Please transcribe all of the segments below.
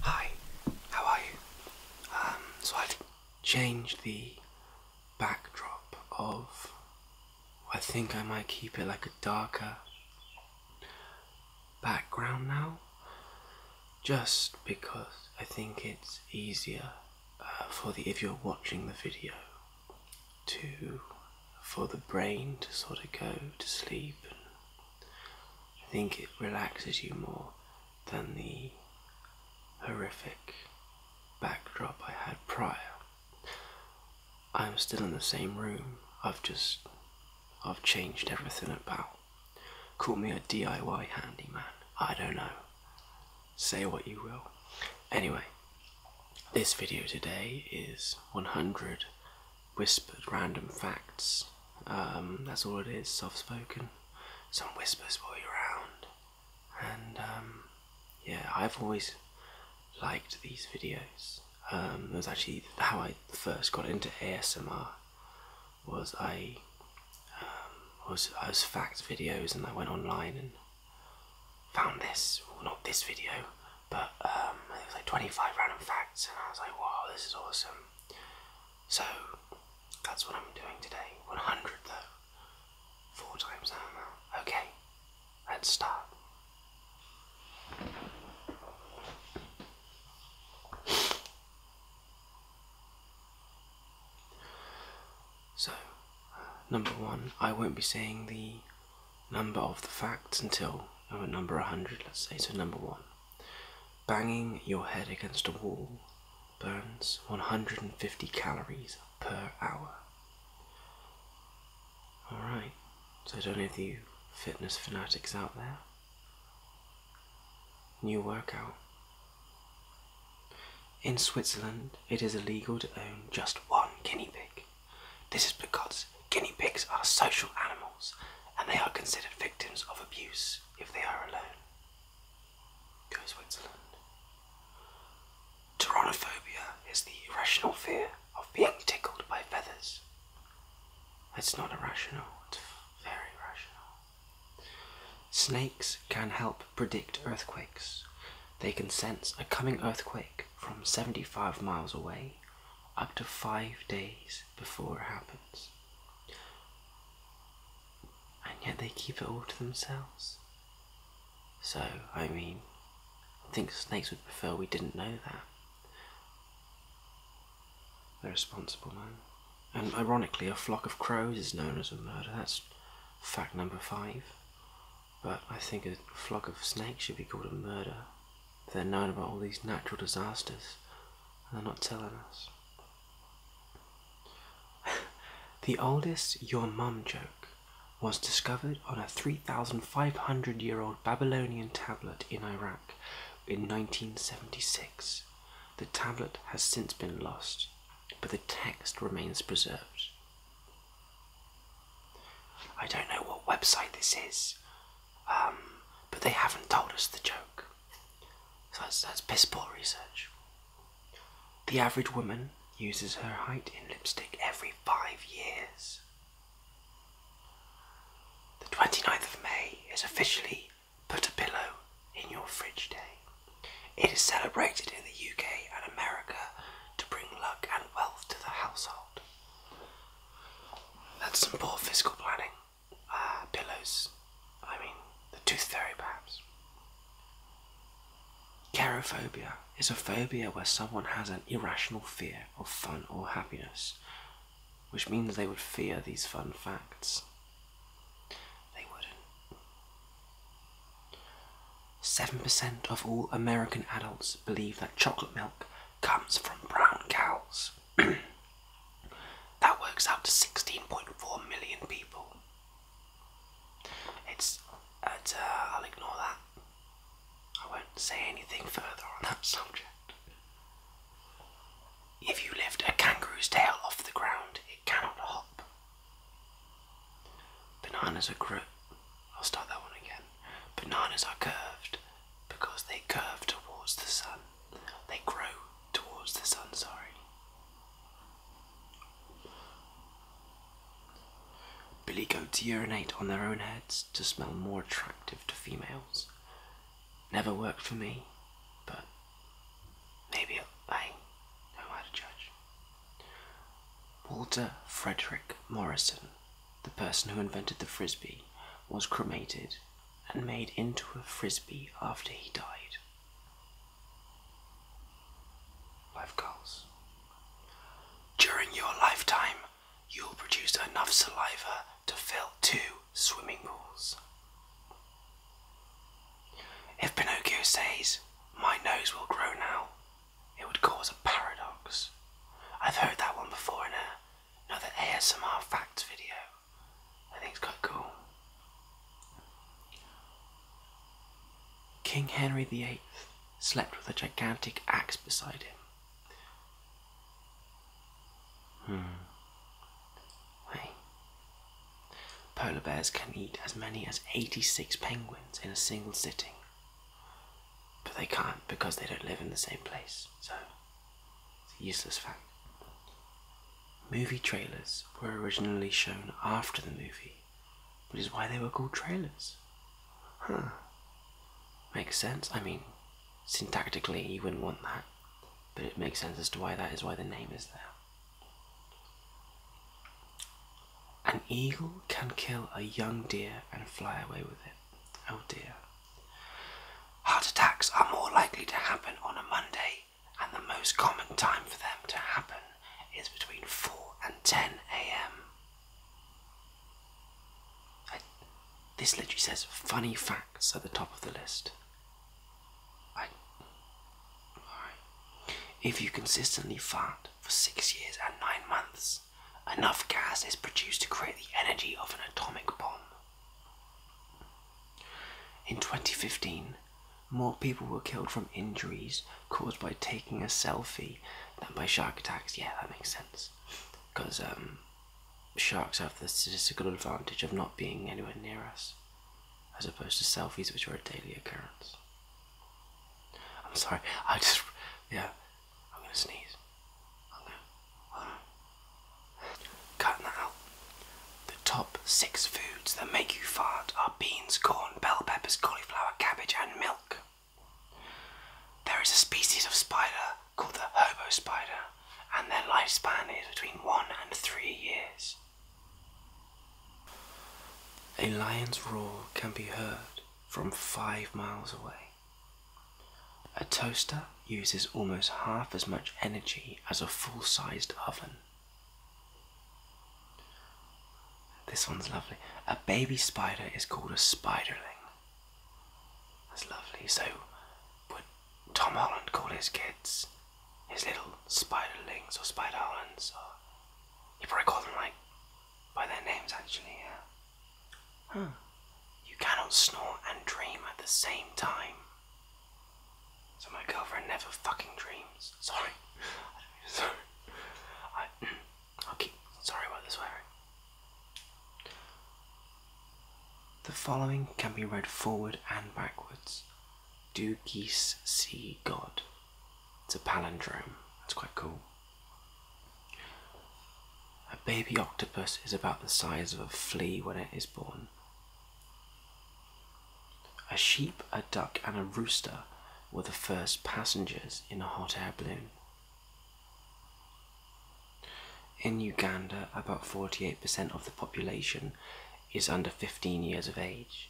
Hi, how are you? Um, so I've changed the backdrop of. I think I might keep it like a darker background now, just because I think it's easier uh, for the if you're watching the video to for the brain to sort of go to sleep I think it relaxes you more than the horrific backdrop I had prior. I'm still in the same room. I've just I've changed everything about. Call me a DIY handyman. I don't know. Say what you will. Anyway, this video today is 100 whispered random facts. Um, that's all it is, soft spoken. Some whispers will be around. And um, yeah, I've always liked these videos. Um, it was actually how I first got into ASMR. Was I um, was I was fact videos, and I went online and found this. Well, not this video, but um, it was like 25 random facts, and I was like, wow, this is awesome. So that's what I'm doing today. 100 though. Four times that amount. Okay, let's start. So, number one, I won't be saying the number of the facts until uh, number 100, let's say, so number one. Banging your head against a wall burns 150 calories per hour. Alright, so don't any of you fitness fanatics out there. New workout. In Switzerland, it is illegal to own just one guinea pig. This is because guinea pigs are social animals and they are considered victims of abuse if they are alone. Go Switzerland. Tyrannophobia is the irrational fear of being tickled by feathers. It's not irrational, it's very rational. Snakes can help predict earthquakes. They can sense a coming earthquake from 75 miles away up to five days before it happens. And yet they keep it all to themselves. So, I mean, I think snakes would prefer we didn't know that. They're responsible, man. And ironically, a flock of crows is known as a murder. That's fact number five. But I think a flock of snakes should be called a murder. They're known about all these natural disasters they're not telling us. the oldest your mum joke was discovered on a 3,500 year old Babylonian tablet in Iraq in 1976. The tablet has since been lost, but the text remains preserved. I don't know what website this is, um, but they haven't told us the joke. So that's, that's piss poor research. The average woman uses her height in lipstick every five years. The 29th of May is officially Put a Pillow in Your Fridge Day. It is celebrated in the UK and America to bring luck and wealth to the household. That's some poor fiscal planning. Ah, pillows. I mean, the tooth fairy, perhaps. Carophobia is a phobia where someone has an irrational fear of fun or happiness, which means they would fear these fun facts. They wouldn't. 7% of all American adults believe that chocolate milk comes from brown cows. That works out to 16.4 million people. It's, uh, I'll ignore that. I won't say anything further on that subject. If you lift a kangaroo's tail off the ground, it cannot hop. Bananas are curved. I'll start that one again. Bananas are curved because they curve towards the sun. They grow towards the sun, sorry. Billy goats urinate on their own heads to smell more attractive to females. Never worked for me, but maybe I know how to judge. Walter Frederick Morrison the person who invented the frisbee was cremated and made into a frisbee after he died. Life goals. During your lifetime, you will produce enough saliva to fill two swimming pools. If Pinocchio says, My nose will grow now, it would cause a paradox. I've heard that one before in a another ASMR facts video. I think it's quite cool. King Henry VIII slept with a gigantic axe beside him. Hmm. Hey. Polar bears can eat as many as 86 penguins in a single sitting. But they can't because they don't live in the same place, so it's a useless fact. Movie trailers were originally shown after the movie, which is why they were called trailers. Huh. Makes sense. I mean, syntactically, you wouldn't want that, but it makes sense as to why that is why the name is there. An eagle can kill a young deer and fly away with it. Oh dear. Heart attacks are more likely to happen on a Monday, and the most common time for them to happen is between 4 and 10 am. This literally says funny facts at the top of the list. If you consistently fart for six years and nine months, enough gas is produced to create the energy of an atomic bomb. In 2015, more people were killed from injuries caused by taking a selfie than by shark attacks. Yeah, that makes sense. Because um, sharks have the statistical advantage of not being anywhere near us, as opposed to selfies, which are a daily occurrence. I'm sorry, I just. Yeah, I'm gonna sneeze cut that The top six foods that make you fart are beans, corn, bell peppers, cauliflower, cabbage, and milk. There is a species of spider called the hobo spider, and their lifespan is between one and three years. A lion's roar can be heard from five miles away. A toaster uses almost half as much energy as a full sized oven. This one's lovely. A baby spider is called a spiderling. That's lovely. So, would Tom Holland call his kids his little spiderlings or spiderlings? Or he probably call them like by their names, actually. Yeah. Huh. You cannot snore and dream at the same time. So my girlfriend never fucking dreams. Sorry. sorry. I, i sorry about this, swearing. The following can be read forward and backwards. Do geese see God? It's a palindrome. That's quite cool. A baby octopus is about the size of a flea when it is born. A sheep, a duck, and a rooster were the first passengers in a hot air balloon. In Uganda, about 48% of the population is under 15 years of age.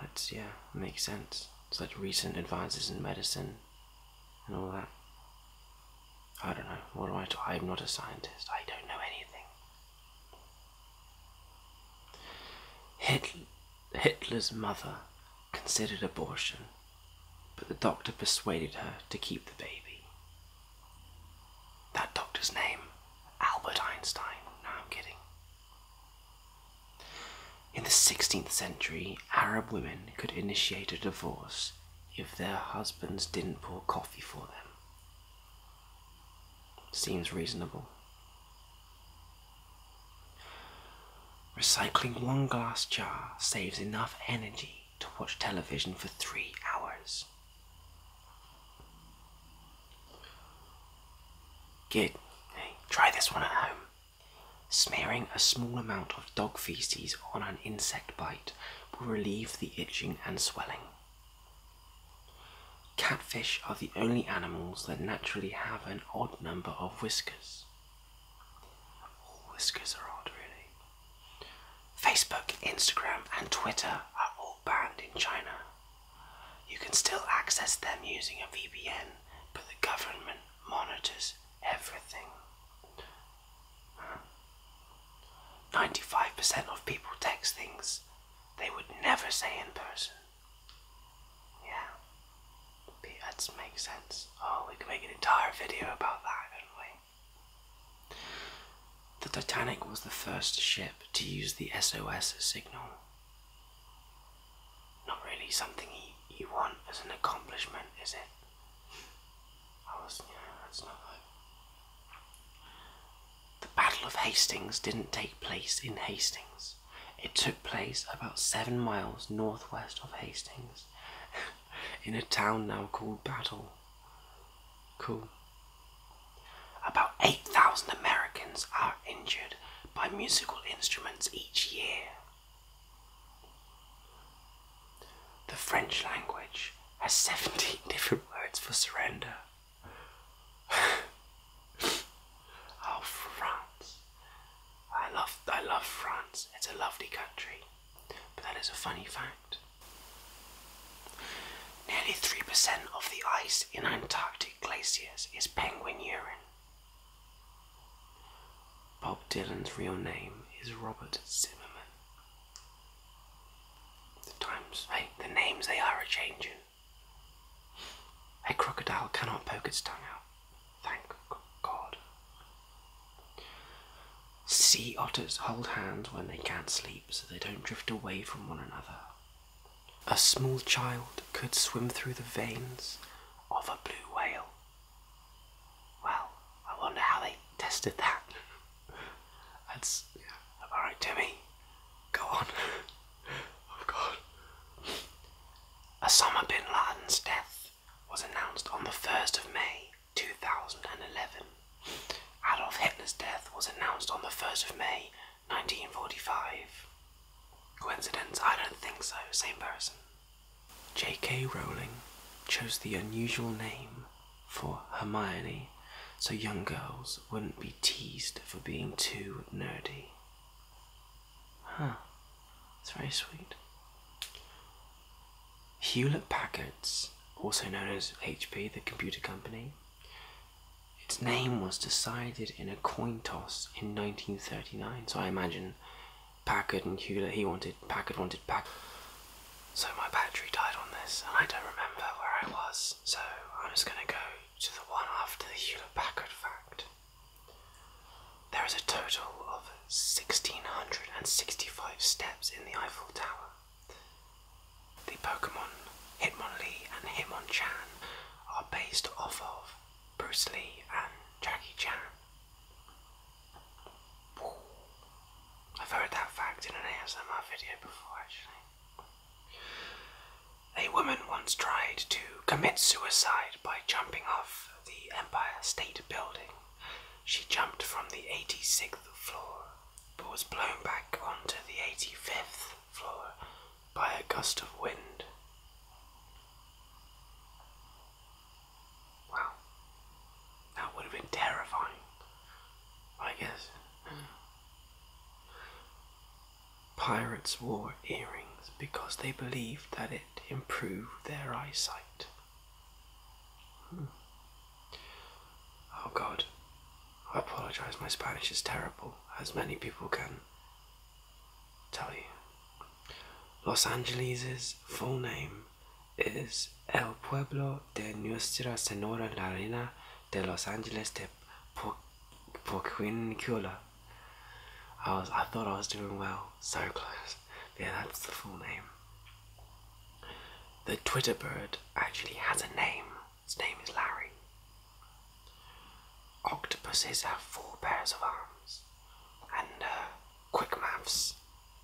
That's, yeah, makes sense. Such recent advances in medicine and all that. I don't know. What am i T- I'm not a scientist. I don't know anything. Hitler, Hitler's mother considered abortion, but the doctor persuaded her to keep the baby. That doctor's name, Albert Einstein. No, I'm kidding. In the 16th century, Arab women could initiate a divorce if their husbands didn't pour coffee for them. Seems reasonable. Recycling one glass jar saves enough energy to watch television for three hours. Good. Hey, try this one at home. Smearing a small amount of dog feces on an insect bite will relieve the itching and swelling. Catfish are the only animals that naturally have an odd number of whiskers. whiskers are odd, really. Facebook, Instagram, and Twitter are all banned in China. You can still access them using a VPN, but the government monitors everything. 95% of people text things they would never say in person. Yeah. That makes sense. Oh, we could make an entire video about that, couldn't we? The Titanic was the first ship to use the SOS signal. Not really something you, you want as an accomplishment, is it? The Battle of Hastings didn't take place in Hastings. It took place about seven miles northwest of Hastings, in a town now called Battle. Cool. About 8,000 Americans are injured by musical instruments each year. The French language has 17 different words for surrender. oh, France. I love, I love France. It's a lovely country. But that is a funny fact. Nearly 3% of the ice in Antarctic glaciers is penguin urine. Bob Dylan's real name is Robert Zimmerman. The times, the names they are a changing. A crocodile cannot poke its tongue out. Thank God. Sea otters hold hands when they can't sleep so they don't drift away from one another. A small child could swim through the veins of a blue whale. Well, I wonder how they tested that. That's yeah. alright, Timmy. Go on. oh God. Osama bin Laden's death was announced on the 1st of May 2011. Adolf Hitler's death was announced on the 1st of May 1945. Coincidence? I don't think so. Same person. J.K. Rowling chose the unusual name for Hermione so young girls wouldn't be teased for being too nerdy. Huh, it's very sweet. Hewlett Packard's, also known as HP, the computer company, its name was decided in a coin toss in 1939, so I imagine Packard and Hewlett. He wanted Packard wanted Pack. So my battery died on this, and I don't remember where I was. So I'm just gonna go to the one after the Hewlett Packard fact. There is a total of 1665 steps in the Eiffel Tower. The Pokemon Hitmonlee and Hitmonchan are based off of Bruce Lee and Jackie Chan. I've heard that fact in an ASMR video before, actually. A woman once tried to commit suicide by jumping off the Empire State Building. She jumped from the 86th floor, but was blown back onto the 85th floor by a gust of wind. Wow. That would have been terrifying, I guess. Pirates wore earrings because they believed that it improved their eyesight. Hmm. Oh god, I apologise, my Spanish is terrible, as many people can tell you. Los Angeles's full name is El Pueblo de Nuestra Senora la Reina de Los Angeles de po Poquincula. I was I thought I was doing well. So close. Yeah, that's the full name. The Twitter bird actually has a name. His name is Larry. Octopuses have four pairs of arms, and uh, Quick maths,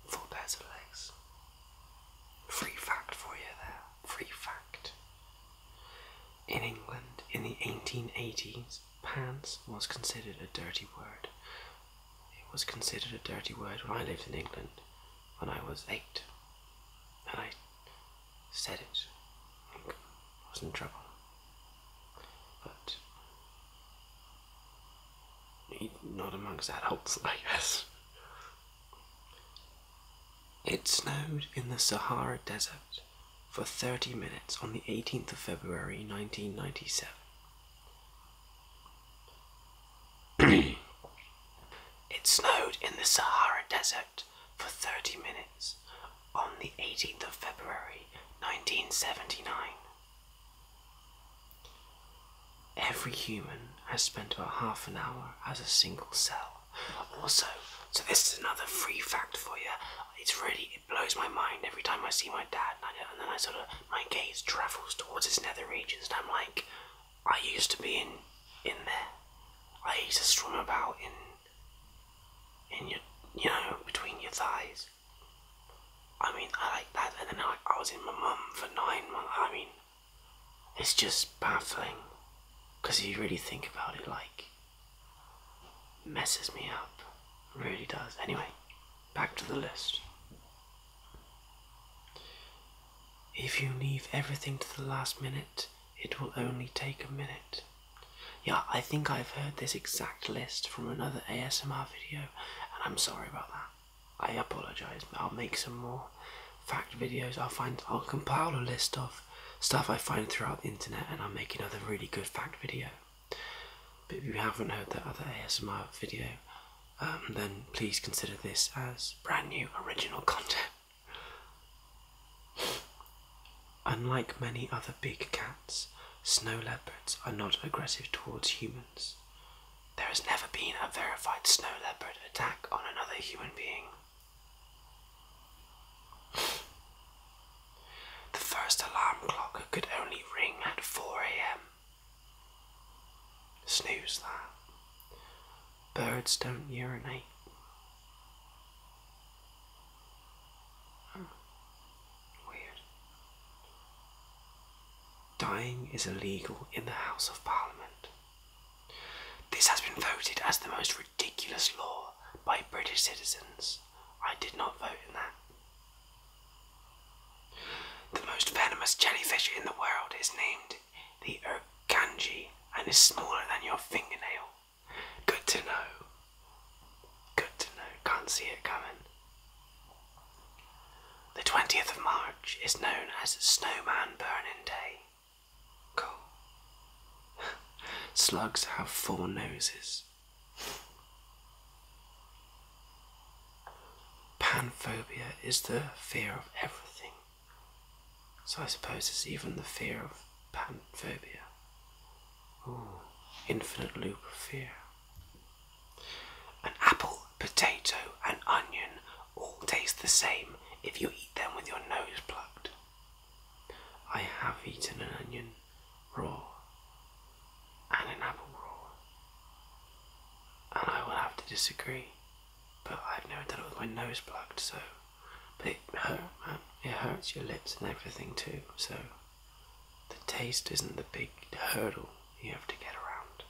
four pairs of legs. Free fact for you there, free fact. In England in the 1880s, pants was considered a dirty word. It was considered a dirty word when I lived in England when I was eight. And I said it. I was in trouble. But not amongst adults, I guess. It snowed in the Sahara Desert for 30 minutes on the 18th of February 1997. it snowed in the Sahara Desert for 30 minutes on the 18th of February 1979. Every human has spent about half an hour as a single cell. Also, so this is another free fact for you. It's really it blows my mind every time I see my dad, and, then I sort of my gaze travels towards his nether regions, and I'm like, I used to be in in there. I used to swim about in in your you know between your thighs. I mean, I like that. And then I, I was in my mum for nine months. I mean, it's just baffling. Because you really think about it, like, messes me up. Really does. Anyway, back to the list. If you leave everything to the last minute, it will only take a minute. Yeah, I think I've heard this exact list from another ASMR video, and I'm sorry about that. I apologise, but I'll make some more fact videos. I'll find I'll compile a list of stuff I find throughout the internet and I'll make another really good fact video. But if you haven't heard that other ASMR video, um, then please consider this as brand new original content. Unlike many other big cats, snow leopards are not aggressive towards humans. There has never been a verified snow leopard attack on another human being. The first alarm clock could only ring at 4 am. Snooze that. Birds don't urinate. Weird. Dying is illegal in the House of Parliament. This has been voted as the most ridiculous law by British citizens. I did not vote in that. The most venomous jellyfish in the world is named the Urkanji and is smaller than your fingernail. Good to know. Good to know. Can't see it coming. The 20th of March is known as Snowman Burning Day. Cool. Slugs have four noses. Panphobia is the fear of everything. So I suppose it's even the fear of panphobia. Ooh, infinite loop of fear. An apple, potato, and onion all taste the same if you eat them with your nose plucked. I have eaten an onion raw and an apple raw, and I will have to disagree. But I've never done it with my nose plucked, so. But it hurts your lips and everything too, so. The taste isn't the big hurdle you have to get around.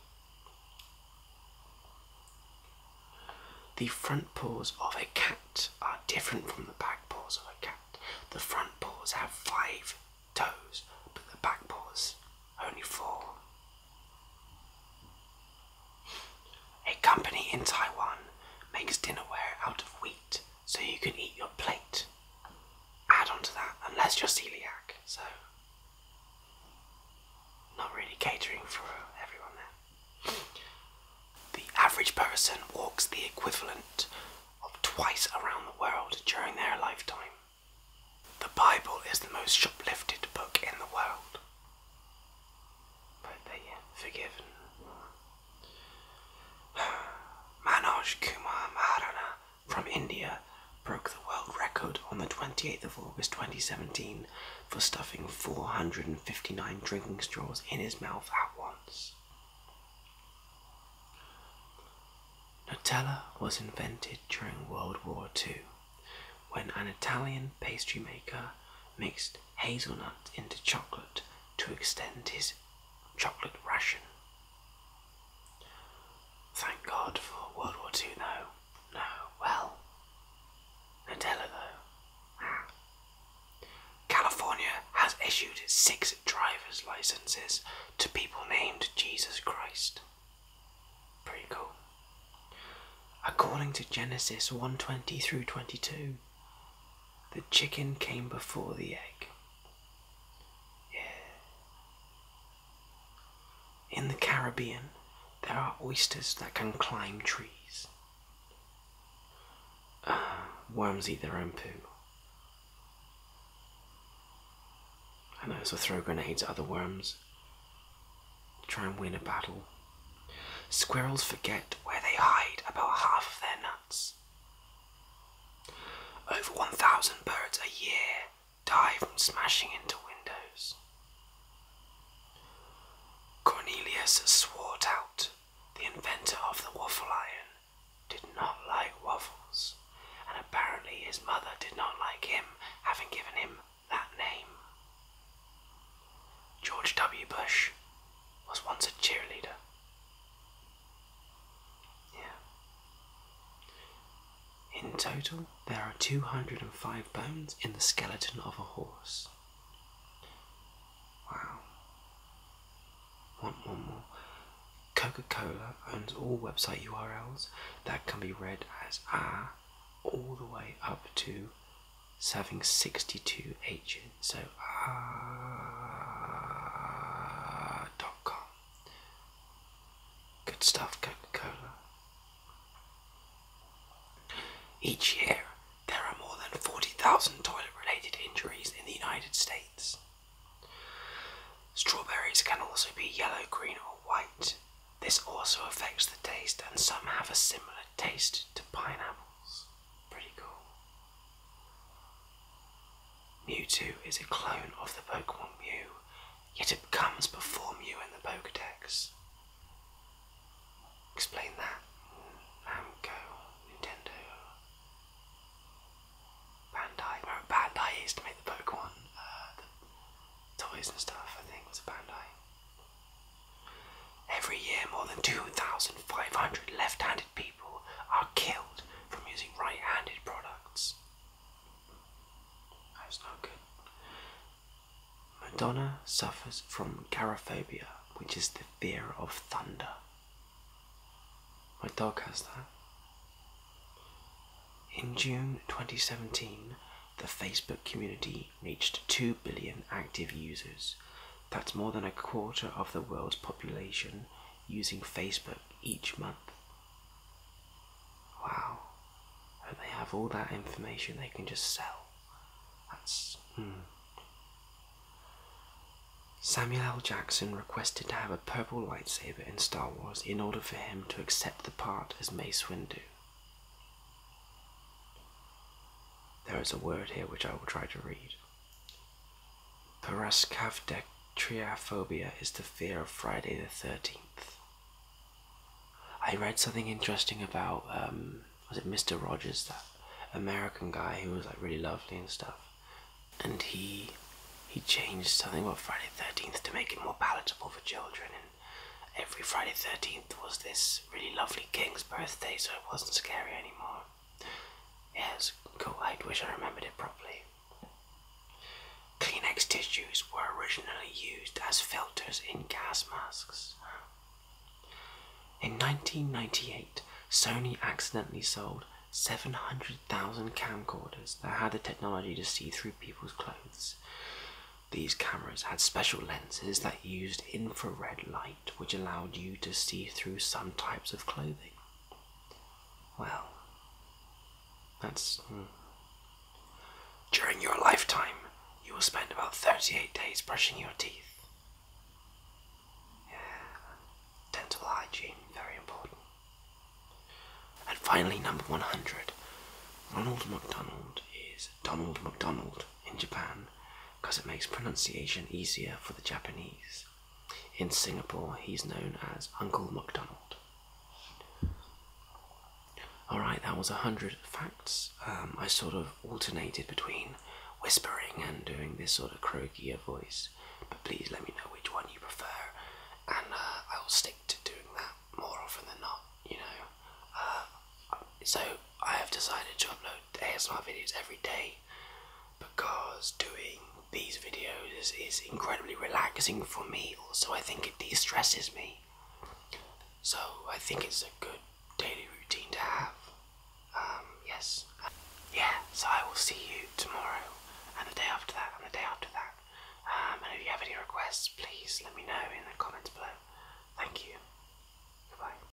The front paws of a cat are different from the back paws of a cat. The front paws have five toes, but the back paws only four. A company in Taiwan makes dinnerware out of wheat so you can eat your plate add on to that unless you're celiac. So, not really catering for everyone there. The average person walks the equivalent of twice around the world during their lifetime. The Bible is the most shoplifted book in the world. But they are forgiven. Manoj Kumar Maharana from India broke the world record on the 28th of August 2017 for stuffing 459 drinking straws in his mouth at once. Nutella was invented during World War II when an Italian pastry maker mixed hazelnut into chocolate to extend his chocolate ration. Thank God for World War II, though. No, well, Nutella, though. Ah. California has issued six driver's licenses to people named Jesus Christ. Pretty cool. According to Genesis 120 through 22, the chicken came before the egg. Yeah. In the Caribbean, there are oysters that can climb trees. Ah, worms eat their own poo. And those who throw grenades at other worms. Try and win a battle. Squirrels forget where they hide about half of their nuts. Over 1,000 birds a year die from smashing into windows. Cornelius Swartout, the inventor of the waffle iron, did not like waffles, and apparently his mother did not like him, having given him that name. George W. Bush was once a cheerleader yeah. In total, there are 205 bones in the skeleton of a horse. Wow. Want one more? Coca Cola owns all website URLs that can be read as R all the way up to serving 62 H's. So, ah, dot com. Good stuff, Coca Cola. Each year, there are more than 40,000 toilet related injuries in the United States. Strawberries can also be yellow, green, or white. This also affects the taste, and some have a similar taste to pineapples. Mewtwo is a clone of the Pokemon Mew, yet it comes before Mew in the Pokedex. Explain that, Namco, um, Nintendo, Bandai. Remember Bandai used to make the Pokemon uh, toys and stuff, I think, was a Bandai. Every year, more than 2,500 left handed people are killed from using right handed products. That's not good. Madonna suffers from garophobia, which is the fear of thunder. My dog has that. In June 2017, the Facebook community reached 2 billion active users, that's more than a quarter of the world's population using Facebook each month. Wow. And they have all that information they can just sell. That's. Hmm. Samuel L. Jackson requested to have a purple lightsaber in Star Wars in order for him to accept the part as Mace Windu. There is a word here which I will try to read. Parascavdectriophobia is the fear of Friday the 13th. I read something interesting about, um, was it Mr. Rogers, that American guy who was like really lovely and stuff. And he he changed something about Friday 13th to make it more palatable for children. And every Friday 13th was this really lovely king's birthday, so it wasn't scary anymore. Yes, cool. I wish I remembered it properly. Kleenex tissues were originally used as filters in gas masks. In 1998, Sony accidentally sold 700,000 camcorders that had the technology to see through people's clothes. These cameras had special lenses that used infrared light which allowed you to see through some types of clothing. Well, that's. Hmm. During your lifetime, you will spend about 38 days brushing your teeth. Yeah, dental hygiene, very important. And finally, number 100 Ronald McDonald is Donald McDonald in Japan because it makes pronunciation easier for the Japanese. In Singapore, he's known as Uncle MacDonald. Alright, that was a 100 facts. Um, I sort of alternated between whispering and doing this sort of croakier voice, but please let me know which one you prefer, and uh, I'll stick to doing that more often than not, you know. Uh, so, I have decided to upload ASMR videos every day because doing these videos is, incredibly relaxing for me. Also, I think it de stresses me. So, I think it's a good daily routine to have. Um, yes. Yeah, so I will see you tomorrow and the day after that and the day after that. Um, and if you have any requests, please let me know in the comments below. Thank you. Goodbye.